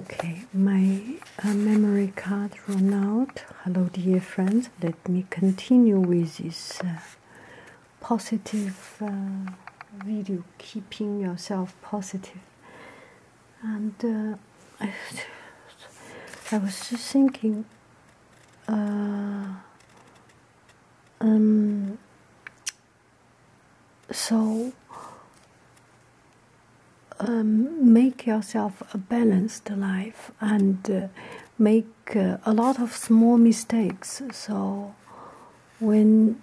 Okay, my uh, memory card run out. Hello, dear friends. Let me continue with this uh, positive uh, video, keeping yourself And I, was just thinking, um, so, um, make yourself a balanced life and uh, make uh, a lot of small mistakes. So, when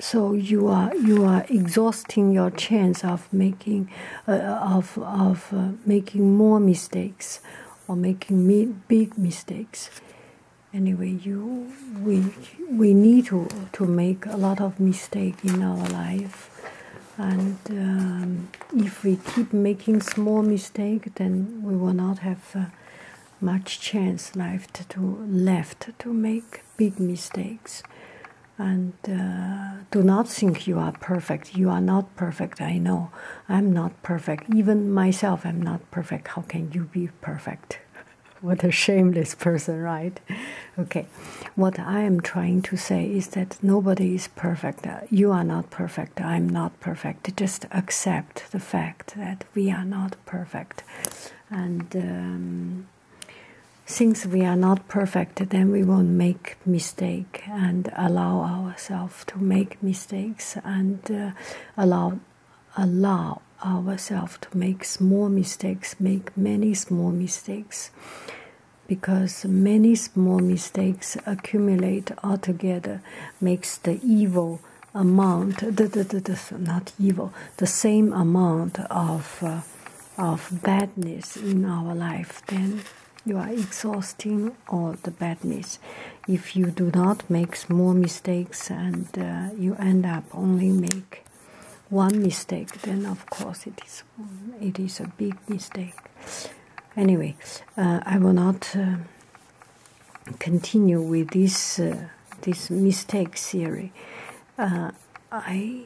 so you are you are exhausting your chance of making uh, of of making more mistakes or making big mistakes anyway you we we need to to make a lot of mistake in our life, and um, if we keep making small mistake, then we will not have uh, much chance left to left to make big mistakes. And uh, do not think you are perfect. You are not perfect. I know I'm not perfect. Even myself, I'm not perfect. How can you be perfect? what a shameless person, right? Okay. What I am trying to say is that nobody is perfect. Uh, you are not perfect. I'm not perfect. Just accept the fact that we are not perfect. And um, since we are not perfect, then we won't make mistake and allow ourselves to make mistakes and uh, allow allow ourselves to make small mistakes, make many small mistakes, because many small mistakes accumulate altogether, makes the evil amount, the, the, the, not evil, the same amount of uh, of badness in our life. Then you are exhausting all the badness. If you do not make small mistakes and uh, you end up only make one mistake, then of course it is it is a big mistake. Anyway, uh, I will not uh, continue with this uh, this mistake theory. I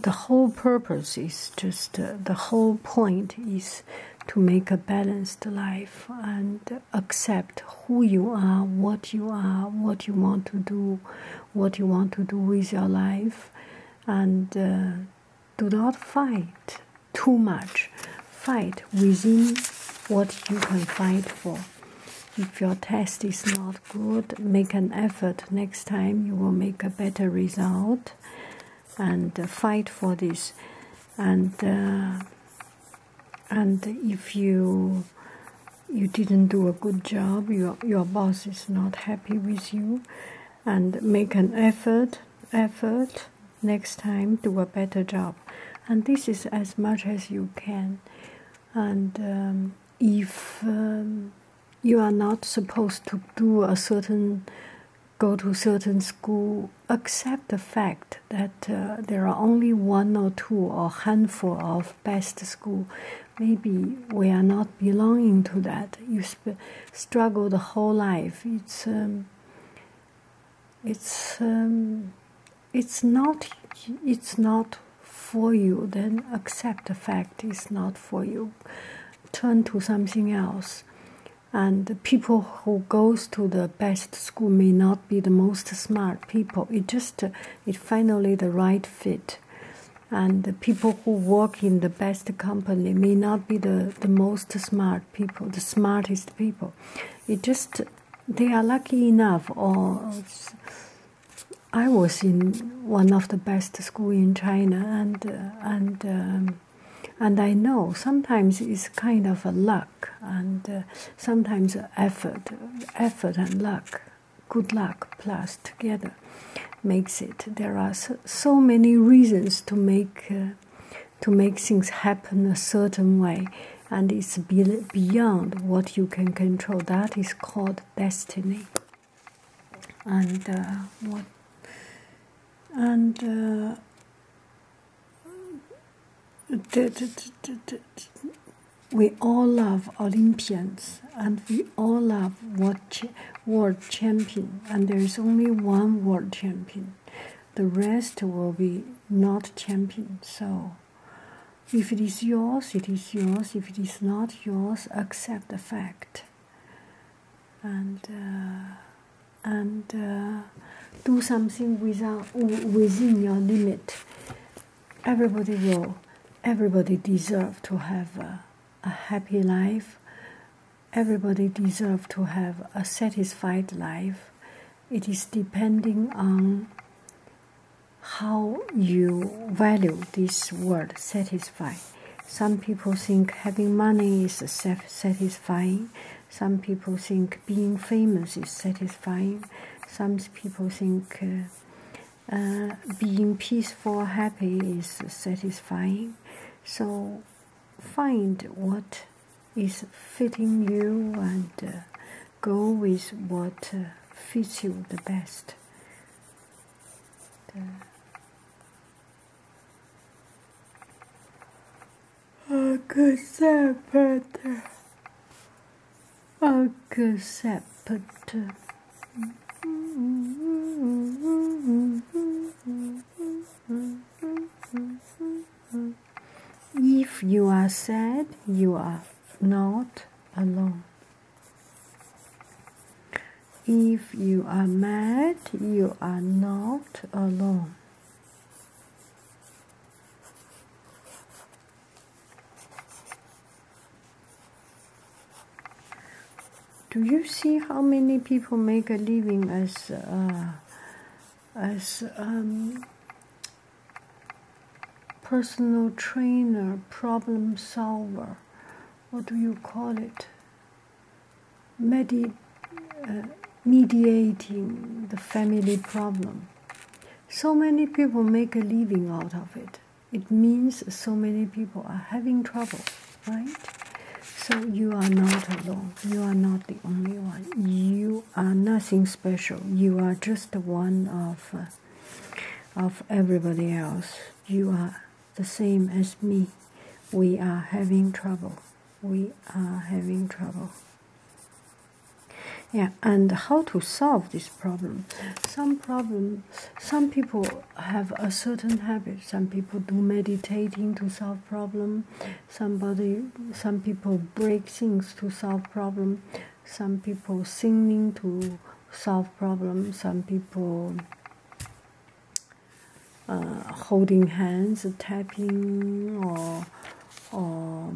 the whole purpose is just the whole point is to make a balanced life and accept who you are, what you are, what you want to do, what you want to do with your life and uh, do not fight too much fight within what you can fight for if your test is not good make an effort next time you will make a better result and uh, fight for this and uh, and if you you didn't do a good job, your, your boss is not happy with you, and make an effort, effort next time, do a better job. And this is as much as you can. And um, if um, you are not supposed to do a certain go to certain school accept the fact that uh, there are only one or two or handful of best school. Maybe we are not belonging to that. You struggle the whole life. It's um, it's um, it's not it's not for you. Then accept the fact it's not for you. Turn to something else. And people who goes to the best school may not be the most smart people. It just it's finally the right fit. And the people who work in the best company may not be the, the most smart people, the smartest people. It just, they are lucky enough, or I was in one of the best school in China, and uh, and um, and I know sometimes it's kind of a luck, and uh, sometimes effort, effort and luck good luck plus together makes it there are so many reasons to make uh, to make things happen a certain way and it's beyond what you can control that is called destiny and uh, what and uh, we all love Olympians and we all love world, world champion, and there is only one world champion. The rest will be not champion. So, if it is yours, it is yours. If it is not yours, accept the fact. And uh, and uh, do something without within your limit everybody will everybody deserve to have a, happy life everybody deserve to have a satisfied life it is depending on how you value this word "satisfied." some people think having money is self satisfying some people think being famous is satisfying some people think uh, being peaceful, happy is satisfying. So find what is fitting you and uh, go with what uh, fits you the best. Ah, the a accepted. If you are sad, you are not alone. If you are mad, you are not alone. Do you see how many people make a living as uh, as um, personal trainer, problem solver? What do you call it? Uh, mediating the family problem. So many people make a living out of it it means so many people are having trouble, right? So you are not alone. You are not the only one. You are nothing special. You are just one of uh, of everybody else. You are the same as me. We are having trouble. We are having trouble. Yeah, and how to solve this problem? Some problems some people have a certain habit. Some people do meditating to solve problem. Somebody, some people break things to solve problem. Some people singing to solve problem. Some people uh, holding hands, tapping, or or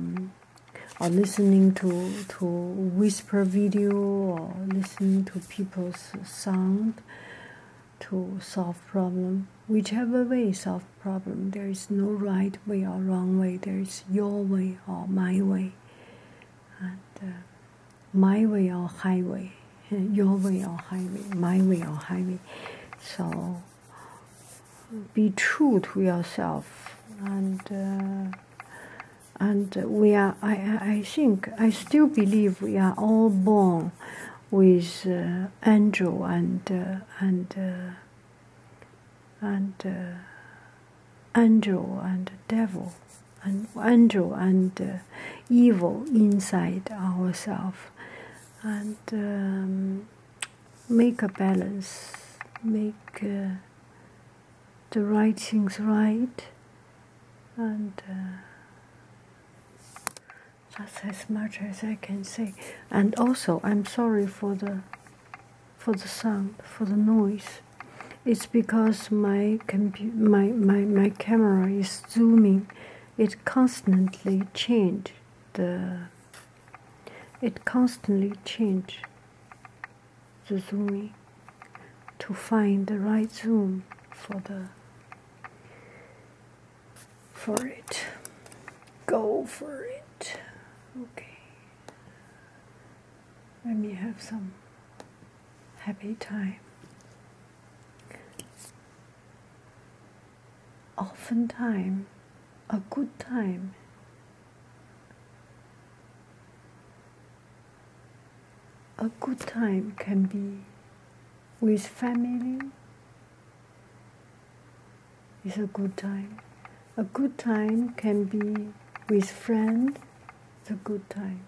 listening to to whisper video or listening to people's sound to solve problem whichever way solve problem there is no right way or wrong way there is your way or my way and uh, my way or highway your way or highway my way or highway so be true to yourself and uh, and we are I, I think I still believe we are all born with uh, angel and uh, and uh, and angel and devil and angel and evil inside ourselves and um, make a balance make uh, the right things right and uh, that's as much as I can say and also I'm sorry for the for the sound for the noise it's because my my, my my camera is zooming it constantly change the it constantly change the zooming to find the right zoom for the for it go for it okay let me have some happy time often time a good time a good time can be with family It's a good time. A good time can be with friend, it's a good time.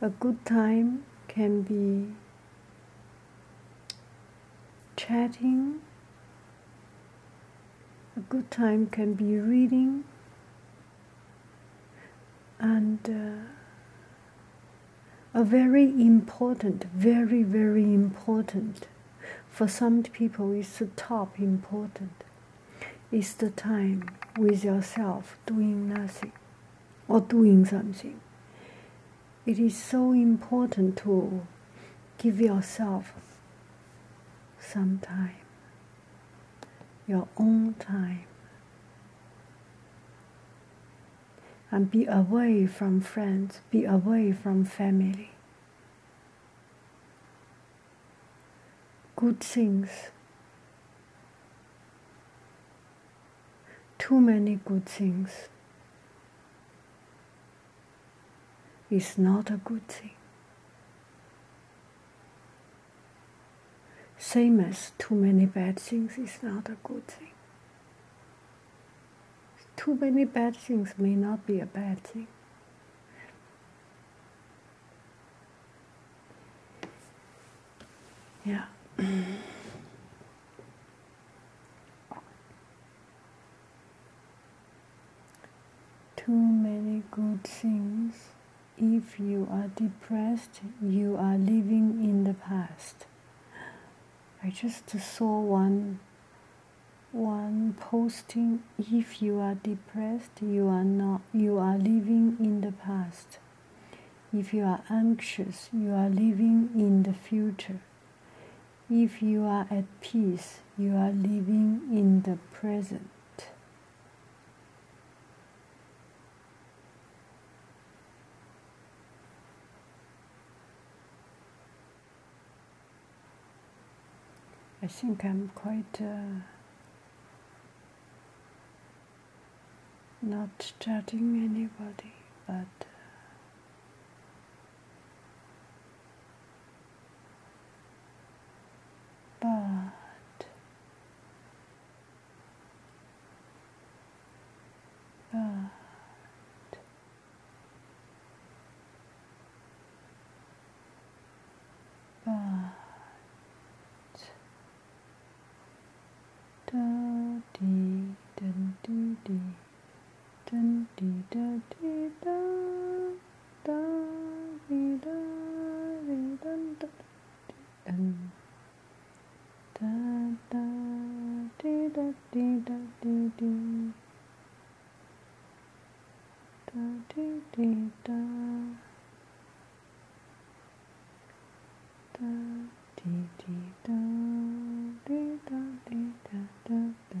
A good time can be chatting. A good time can be reading and uh, a very important, very, very important, for some people is the top important, is the time with yourself doing nothing or doing something. It is so important to give yourself some time your own time and be away from friends, be away from family. Good things. Too many good things is not a good thing. Same as too many bad things is not a good thing. Too many bad things may not be a bad thing. Yeah. Too many good things if you are depressed, you are living in the past. I just saw one one posting if you are depressed you are not you are living in the past if you are anxious you are living in the future if you are at peace you are living in the present I think I'm quite uh, not judging anybody, but uh, but but but do dee dun dee dee dun dee da dee da da dee da dee dun dun um, da da dee da dee da dee dee da dee dee da da dee dee da dee da dee da da da